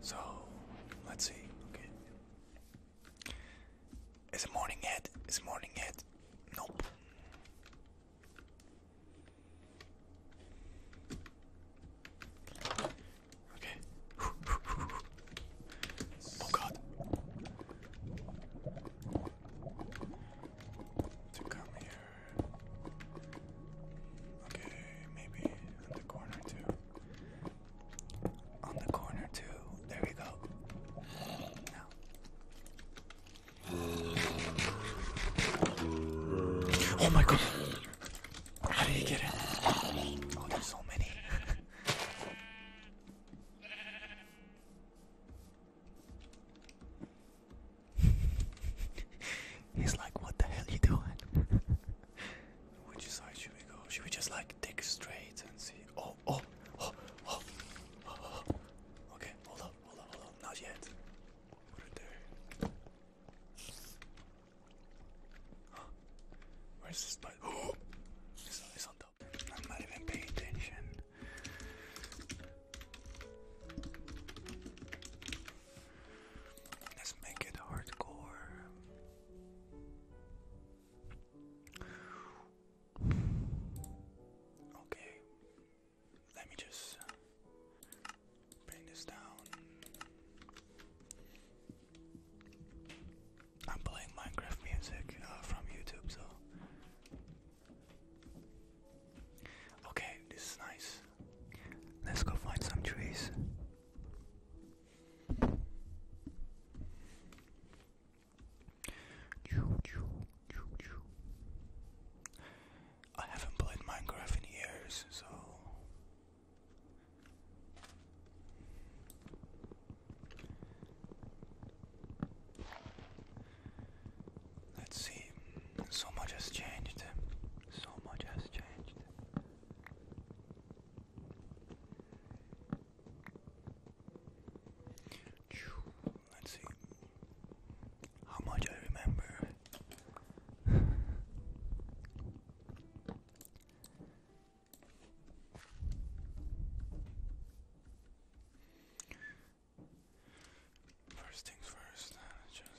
So, let's see. Okay. Is a morning yet? Is a morning yet? Nope. Okay. Oh god to come here. Okay, maybe on the corner too. On the corner too. There we go. Now. Oh my god! How did he get it? Oh, there's so many. He's like, what the hell you doing? Which side should we go? Should we just like take straight and see? Oh, oh, oh, oh, oh. Okay, hold up, hold up, hold up. Not yet. Put it there. Huh? Where's this button? Oh! It's, it's on I'm not even paying attention. Let's make it hardcore. Okay, let me just bring this down. I'm playing Minecraft music uh, from YouTube, so. Okay, this is nice. Let's go find some trees. I haven't played Minecraft in years, so Let's see. So much has changed. So much has changed. Let's see how much I remember. First things first, uh, just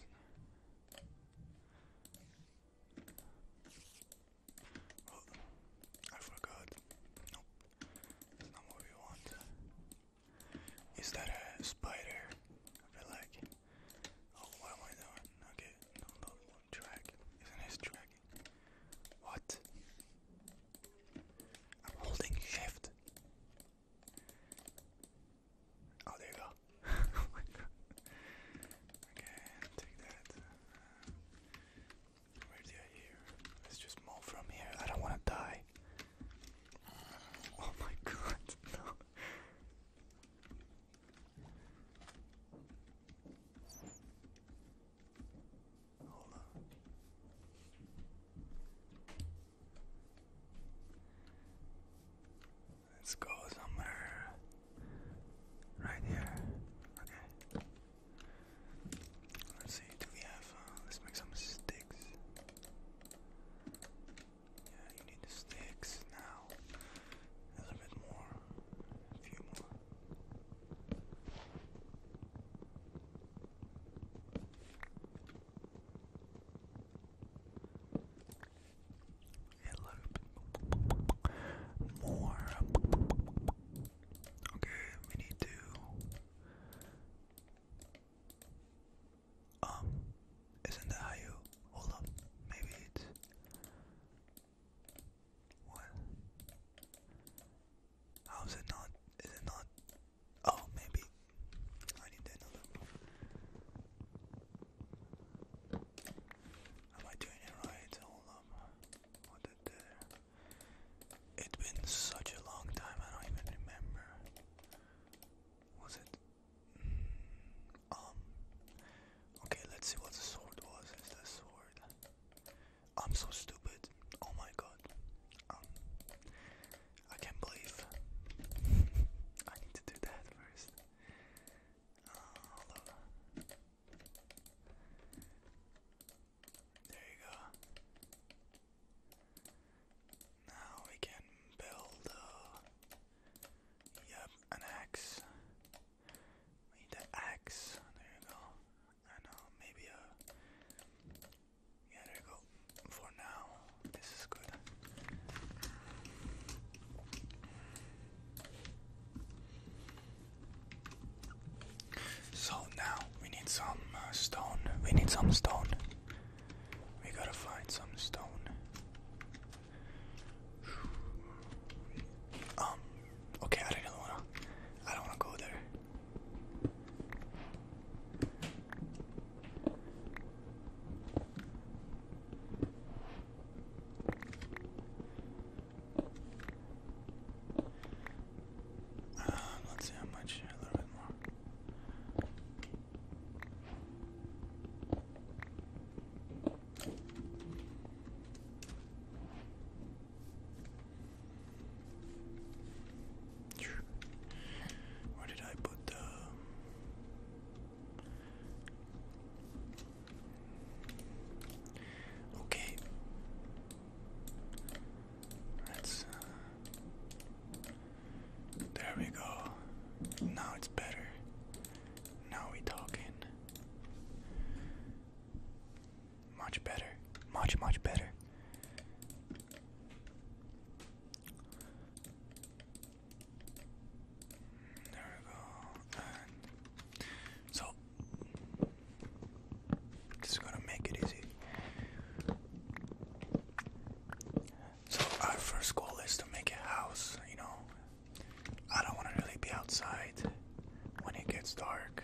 oh, I forgot. Nope, that's not what we want. Is that a spider? I feel like. Oh, what am I doing? Okay, no, no, no track. Isn't his track? What? I'm holding shift. Oh, oh my god. Okay, take that. Uh, where do I hear? let just move from here. I don't want to die. Oh my god, Let's go somewhere right here. Okay. Let's see. Do we have? Uh, let's make some sticks. Yeah, you need the sticks now. A little bit more. A few more. A more. Okay, we need to. Um, isn't that how you hold up? Maybe it's what? How is it not? Is it not? Oh, maybe. I need another Am I doing it right? Hold on. What there? It's been such a long time, I don't even remember. Was it? Mm, um. Okay, let's see what the sword was. Is the sword? I'm so stupid. Oh my god. Um, I can't believe I need to do that first. Uh, there you go. Now we can build. Uh, yep, an axe. We need an axe. There you go and uh, maybe a yeah there you go for now this is good so now we need some uh, stone we need some stone we gotta find some stone um okay I don't wanna I don't wanna go there um, let's see how much, a little bit more. Where did I put the? Okay. let uh, there we go. Now it's better. Now we talking. Much better. Much, much better. There we go. so, this gonna make it easy. So, our first goal is to make a house, you know. I don't want to really be outside when it gets dark.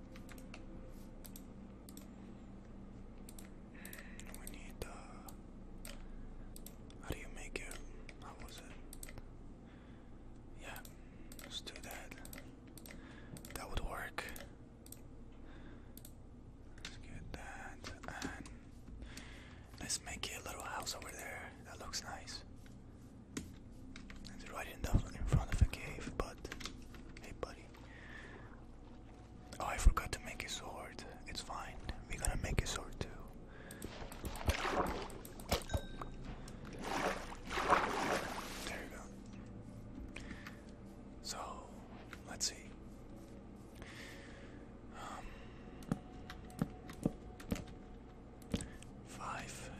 We need uh, how do you make it? How was it? Yeah, let's do that. That would work. Let's get that and let's make a little house over there. That looks nice. It's right in, front of a cave, but hey, buddy. Oh, I forgot to make a sword. It's fine. We're gonna make a sword too. There you go. So, let's see. Um, five.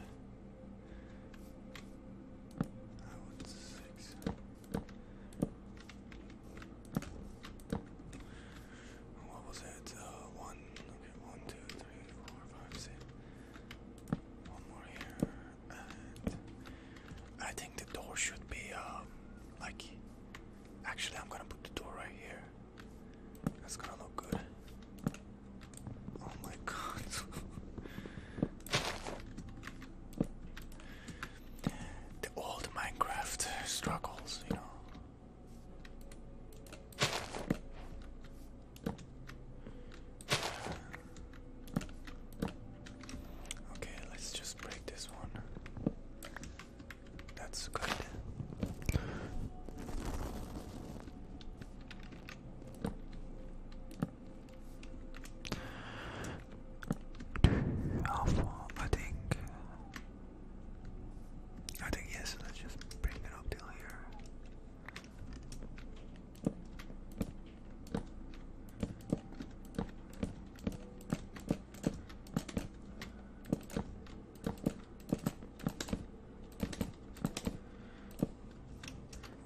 I want six. What was it? Uh, one. Okay, one, two, three, four, five, six. One more here, I think the door should be um, like. Actually, I'm gonna put the door right here. That's gonna look good. Oh my god. the old Minecraft struggles, you know. Okay, let's just break this one. That's good. I think. I think yes. Let's just bring it up till here.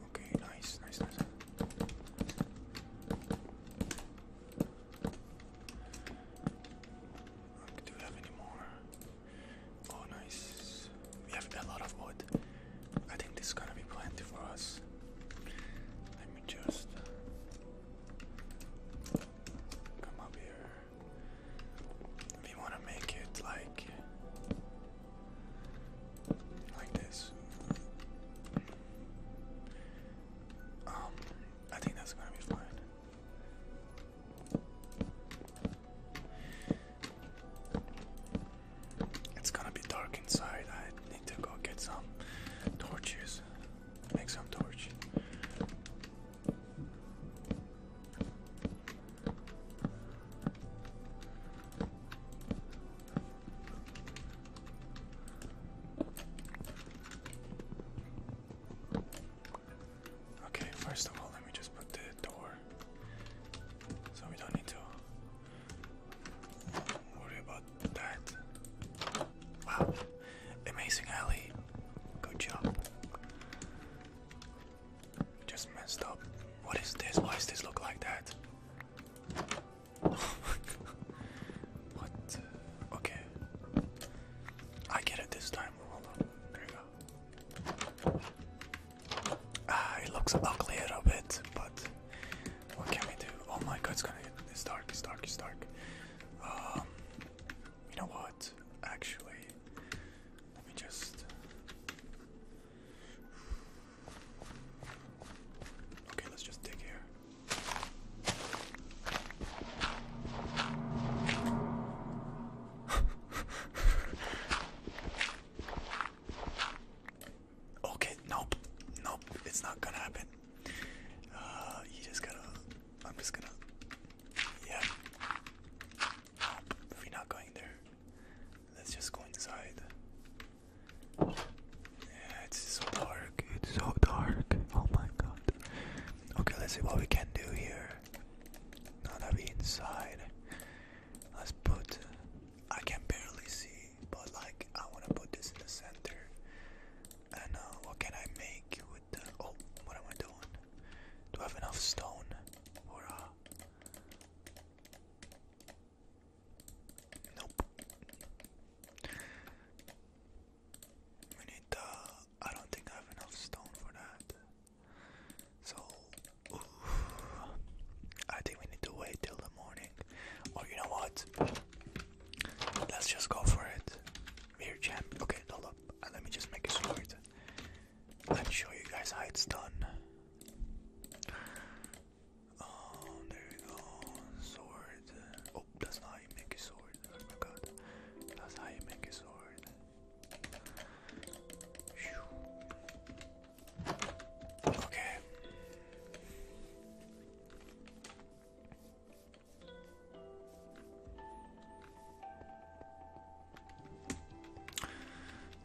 Okay, nice, nice, nice. Do we have any more? Oh, nice. We have a lot of wood. I think this is gonna be plenty for us. Let me just come up here. We wanna make it like like this. Um, I think that's gonna be fine. It's gonna be dark inside. I need to go get some torches. Make some torch. Okay, first of all, let me just put the door so we don't need to worry about that. Wow, amazing alley. Good job. Just messed up. What is this? Why does this look like that? what? Okay. I get it this time. There you go. Ah, it looks a little bit, but what can we do? Oh my god, it's gonna get. It's dark, it's dark, it's dark. Um, you know what? Actually, let me just. Okay, let's just dig here. okay, nope. Nope, it's not gonna happen. Uh, you just gotta. I'm just gonna. Yeah. we're not going there. Let's just go inside. Yeah, it's so dark. It's so dark. Oh my god. Okay, let's see what we can do here. Now that we inside, let's put. I can barely see, but like I want to put this in the center. And uh, what can I make with Oh, what am I doing? Do I have enough stone? Or uh, Nope. We need the. Uh, I don't think I have enough stone for that. So, I think we need to wait till the morning. Or oh, you know what? Let's just go for it. we champ. Okay, hold up. Uh, let me just make a sword. Let's show you guys how it's done. Oh, there we go. Sword. Oh, that's how you make a sword. Oh my god. That's how you make a sword. Okay.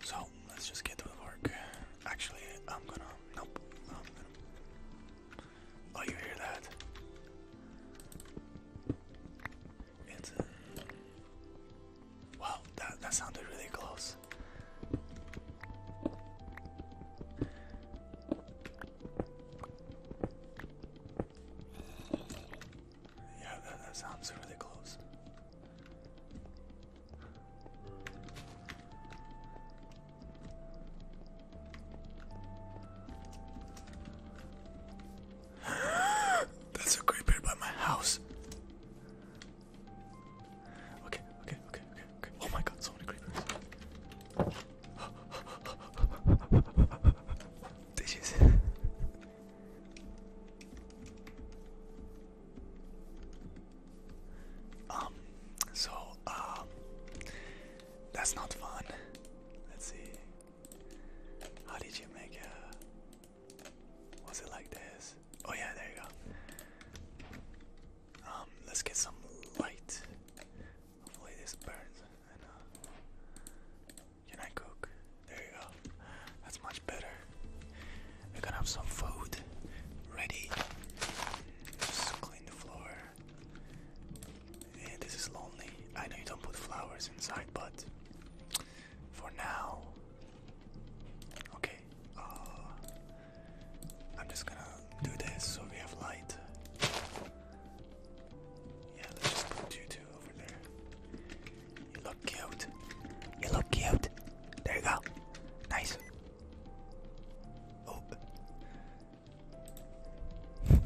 So let's just get to the work. Actually, I'm gonna. Nope. Oh, you hear that? It's. wow, that that sounded really close. Yeah, that, that sounds really close. That's a creeper by my house. okay, okay, okay, okay. Oh my god, so many creepers. Did you see? Um, so, um, that's not fun. Let's see. How did you make it? Was it like this? Oh, yeah, there you go. Um, let's get some light. Hopefully, this burns. Uh, can I cook? There you go. That's much better. We're gonna have some food ready. Just clean the floor. this is lonely. I know you don't put flowers inside, but for now. Okay. Uh, I'm just gonna do this so we have light. Yeah, let's just put you you look cute. You look cute. There you go. Nice. Oh. we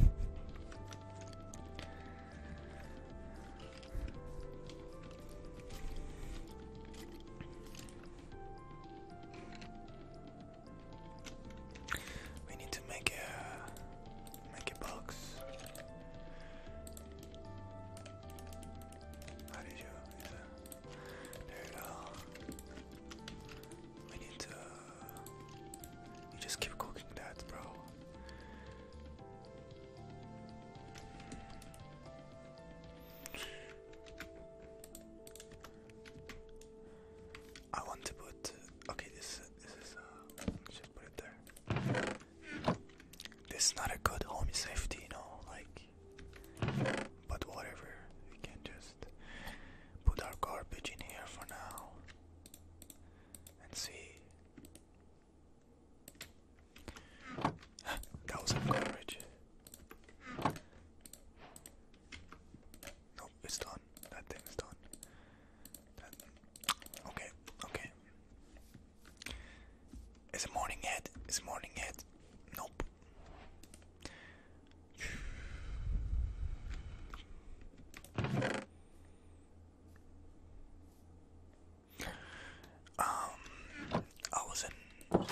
need to make a Make it box. How did you? There you go. We need to. You just keep cooking that, bro. I want to put. Okay, this. This is. Uh, put it there. This is not a good home safety, you know, like, but whatever, we can just put our garbage in here for now and see. that was some garbage. Nope, it's done. That thing done. Okay, okay. Is a morning head? Is a morning head? Nope. Um, I was in.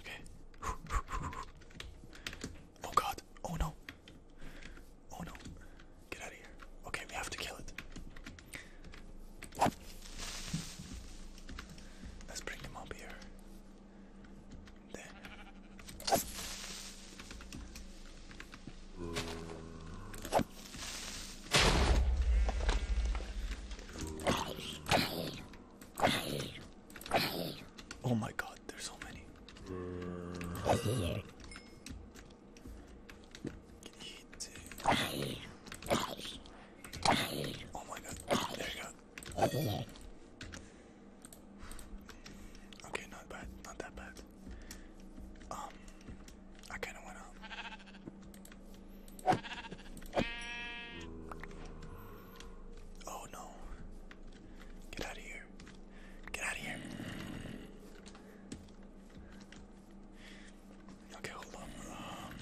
Okay. Oh god. Oh no. Oh no. Get out of here. Okay, we have to kill it. Let's bring him up here. There. Oh my god, there's so many. Oh my god, there you go. Okay, not bad, not that bad. Um, I kinda went up. Oh no. Get out of here. Get out of here. Okay, hold on. Um,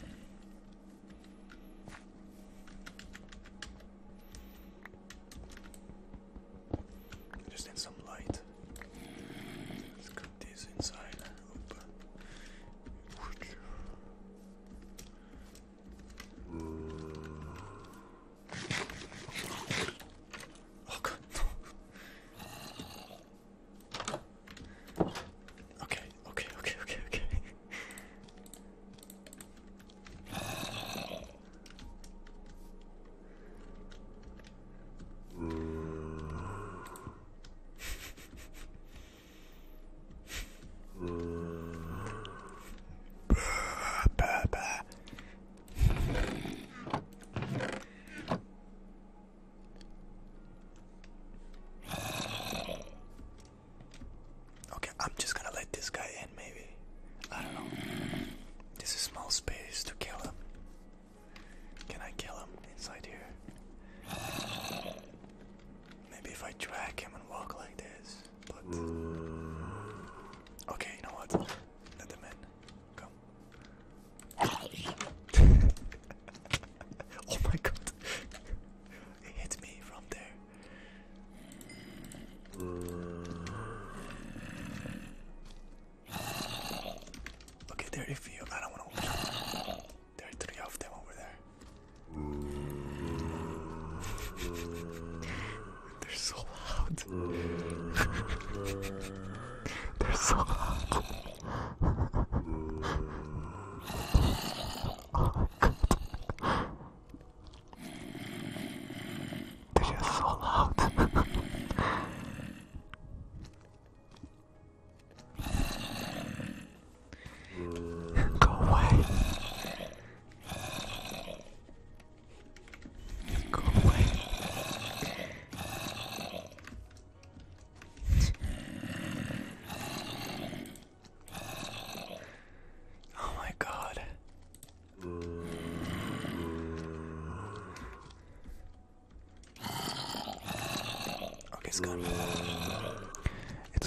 just need some light. Let's cut this inside. Oop. Oh god, no. Okay, okay, okay, okay, okay. Mm. Okay, I'm just gonna let this guy in, maybe. I don't know. This is a small space to kill him. Can I kill him inside here? Maybe if I drag him and walk like this okay, you know what? Let them in. Come. oh my god! It hit me from there. Okay, there if you I don't wanna There are three of them over there. They're so loud. They're so loud. oh They're just so loud. Go away. Go away. oh my god. Okay, it's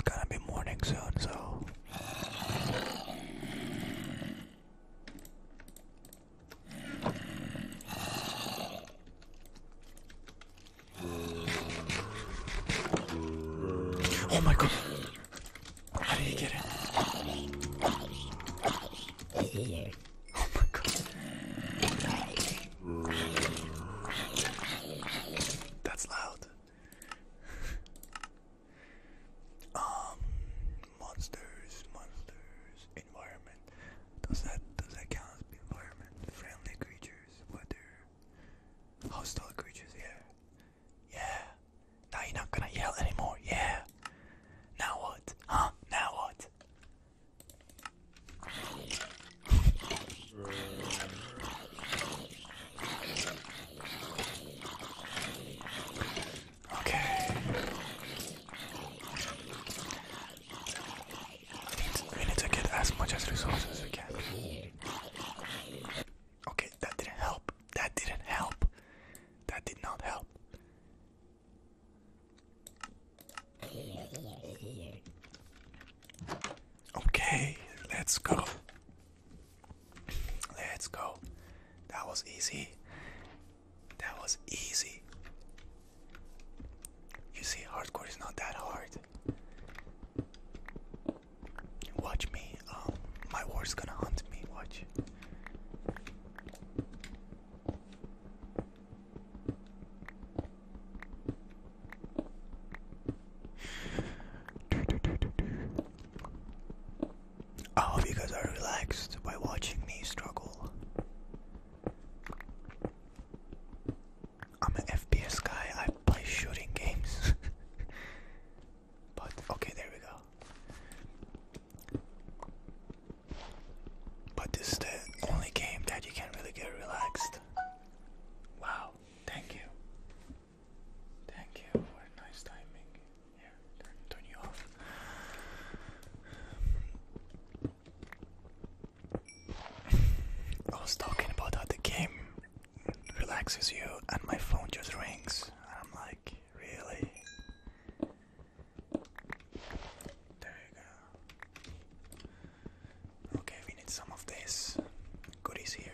gonna be, morning soon, so Oh my god. How did he get it? Oh my god. That's loud. Um, monsters, monsters, environment. Does that does that count as environment? Friendly creatures, weather, hostile creatures. Yeah, yeah. Now you're not gonna yell anymore. Yeah. Now what? Huh? Now what? Okay. We need to get as much as resources we can. Okay, that didn't help. That didn't help. That did not help. Okay, let's go. Let's go. That was easy. That was easy. You see, hardcore is not that hard. Watch me. Um, my war's gonna hunt me. Watch. I hope you guys are relaxed by watching me struggle. I'm an FPS guy, I play shooting games. but okay, there we go. But this is the only game that you can really get relaxed. Wow, thank you. Thank you for nice timing. Here, turn, you off. I was talking about how the game relaxes you, and my phone just rings. I'm like, really? There you go. Okay, we need some of this goodies here.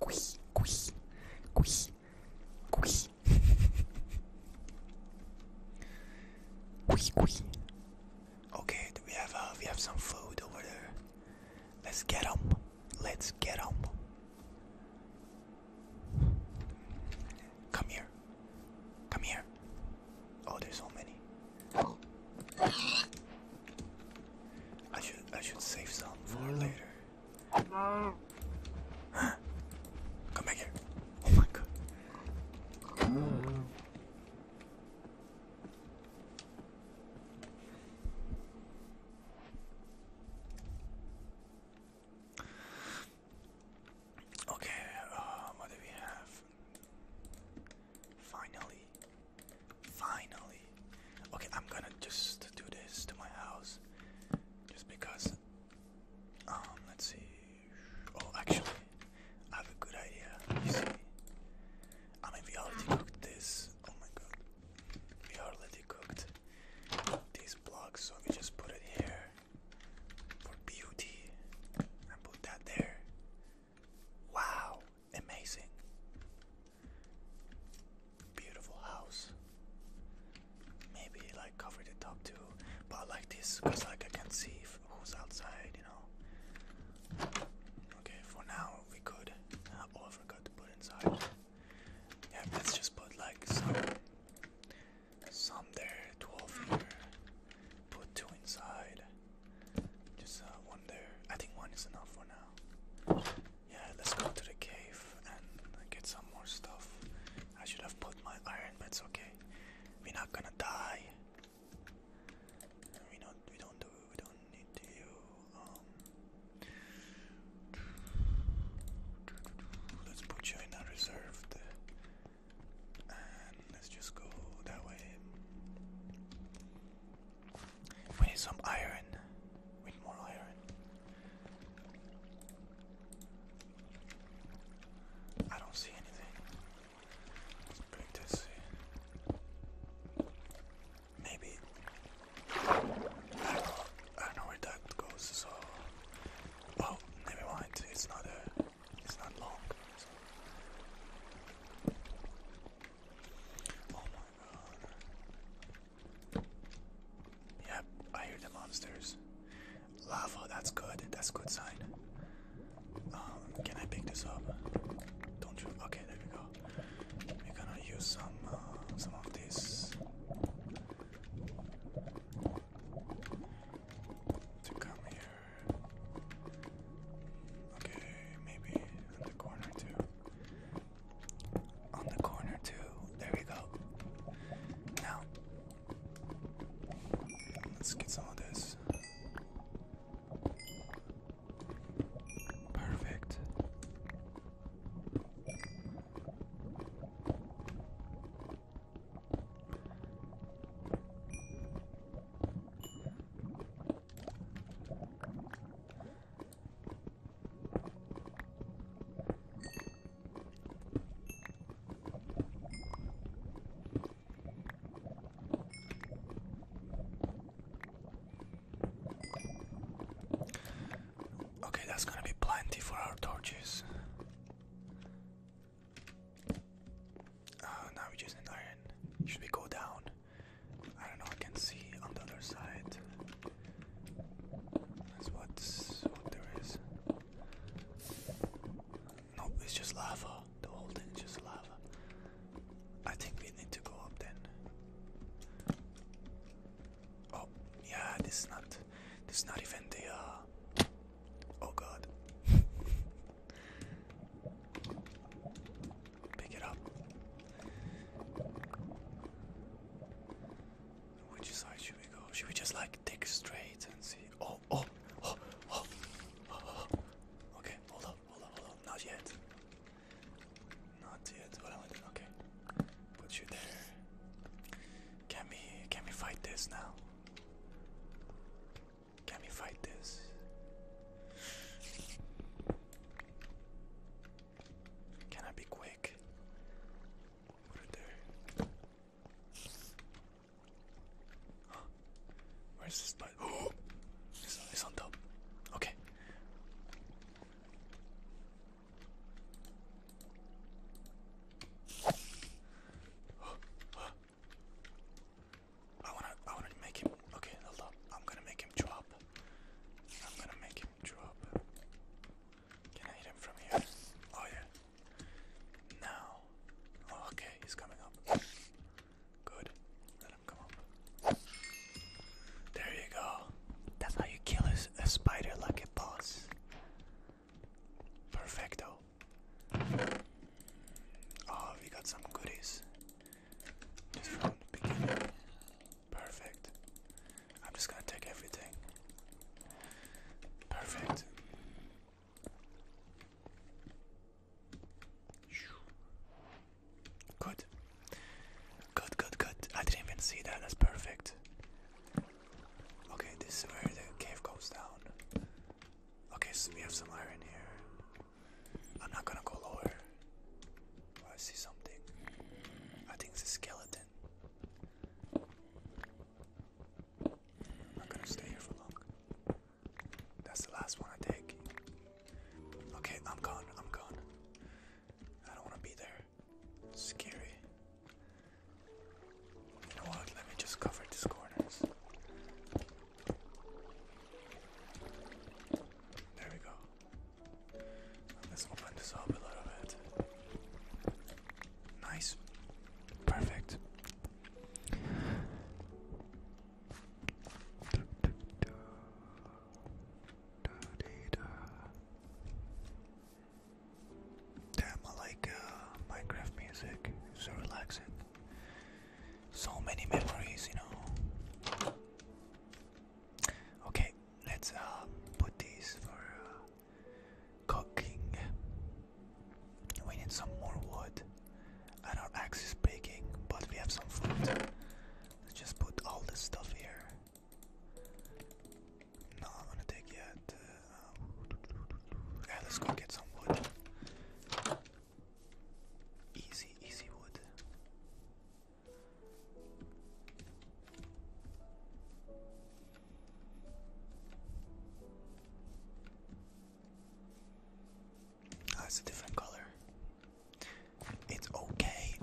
Quee, quee, quee, quee. quee, quee. Okay, we have uh, we have some food over there. Let's get them. Let's get them. Come here. Come here. Oh, there's so many. I should I should save some for mm. later. Come back here. Oh my god. Okay, um, what do we have? Finally, Finally. Okay, I'm gonna just do this to my house. Just because. Um, let's see. Oh, actually, I have a good idea. You see, ah, I mean, we already cooked this. Oh my god. We already cooked these blocks, so we just put it here for beauty and put that there. Wow, amazing. Beautiful house. Maybe like cover the top two, but like this because like I can see who's outside, you know. Okay, for now we could. oh, uh, I forgot to put inside. Yeah, let's just put like some, some there, twelve here. Put two inside. Just uh, one there. I think one is enough for now. Yeah, let's go to the cave and get some more stuff. I should have put my iron, but it's okay. We're not gonna die. We not We don't do. We don't need to. Um, let's put you in a reserved, and let's just go that way. We need some iron. We need more iron. I don't see anything. break this. Maybe. I don't know, where that goes, so. Well, never mind. It's not a. Uh, it's not long. Oh my god. Yeah, I hear the monsters. Lava, that's good. That's a good sign. Um, can I pick this up? Don't you? Okay, there we go. We're gonna use some uh, some of this to come here. Okay, maybe in the corner too on the corner too. There we go. Now, let's get some of this. Perfect. Okay, that's gonna be plenty for our torches. Uh, now we just need iron. Should we go down? I don't know, I can see on the other side. That's what's, what there is. No, it's just lava. The whole thing is just lava. I think we need to go up then. Oh, yeah, this is not, this is not even the, uh, oh god. pick it up. Which side should we go? Should we just like take straight and see? Oh, oh, oh, oh, oh, oh. Okay, hold up, hold up, hold up. Not yet. Not yet. What am I doing? Okay. Put you there. Can we can we fight this now? Can we fight this? Can I be quick? What are there? Where's this button? Oh, it's, it's on top. Okay. I wanna, I wanna make him. Okay, hold up. I'm gonna make him drop. I'm gonna make him drop. Can I hit him from here? Oh yeah. Now. Oh, okay, he's coming up. Good. Let him come up. There you go. That's how you kill a, spider like a boss. Perfecto. Oh, we got some goodies. Just from the Perfect. I'm just gonna take everything. Perfect. Good. Good, good, good. I didn't even see that. That's perfect. Okay, this is where the cave goes down. Okay, so we have some iron here. I'm not gonna go lower. Oh, I see something. I think it's a skeleton. I'm not gonna stay here for long. That's the last one I take. Okay, I'm gone. I'm gone. I don't want to be there. It's scary. You know what? Let me just cover these corners. There we go. Let's open this up a little bit. Nice. Perfect. Damn, I like uh, Minecraft music. so relaxing. So many memories, you know. Okay, let's uh, put these for uh, cooking. We need some more wood, and our axe is breaking, but we have some food. Let's just put all this stuff here. No, I'm gonna take yet. Uh, yeah, let's go get some wood. Easy, easy wood. Oh, it's a different color. It's okay.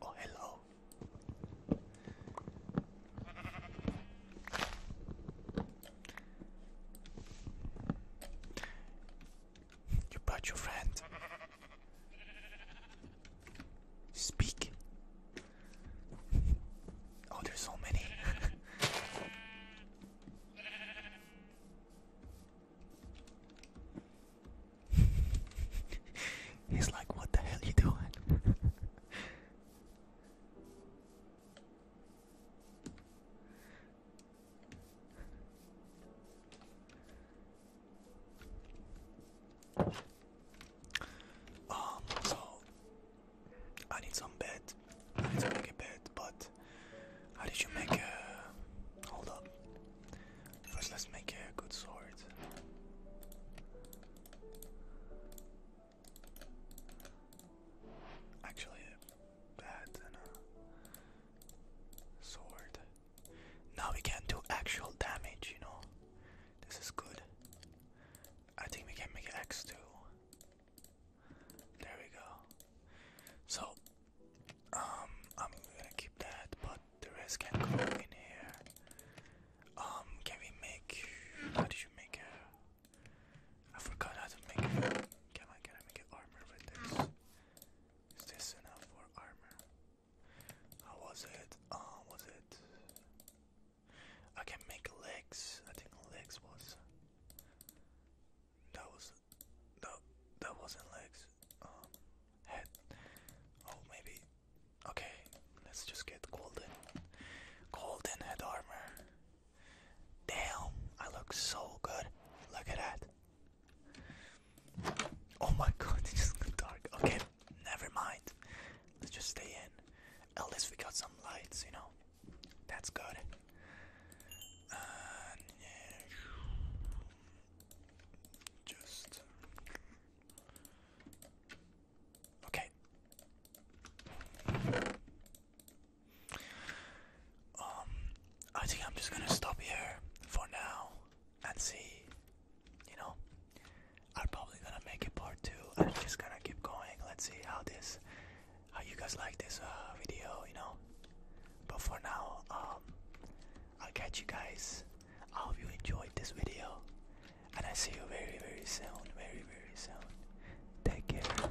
Oh, hello. You brought your friend. Speak. Oh, there's so many. He's like, what the hell you doing? Um, so I need some bed. I need to make a bed, but how did you make a hold up? First let's make a good sword. Actually a bat and a Sword. Now we can do actual damage, you know. This is good. I think we can make X two. There we go. So, um, I'm gonna keep that, but the rest can go in here. Um, can we make? How did you make a? I forgot how to make it. Come can I make armor with this? Is this enough for armor? How was it? Oh, was it? I can make legs. I think legs was. That was. That, that wasn't legs. Um, head. Oh, maybe. Okay, let's just get golden. Golden head armor. Damn, I look so good. Look at that. Oh my god, it's just too dark. Okay, never mind. Let's just stay in. At least we got some lights, you know. That's good. just okay. Um, I think I'm just gonna stop here for now and see. You know, I'm probably gonna make it part two. I'm just gonna keep going. Let's see how this, how you guys like this uh, video. You know, but for now, um, I'll catch you guys. I hope you enjoyed this video, and I see you very, very soon. Very, very soon. Take care.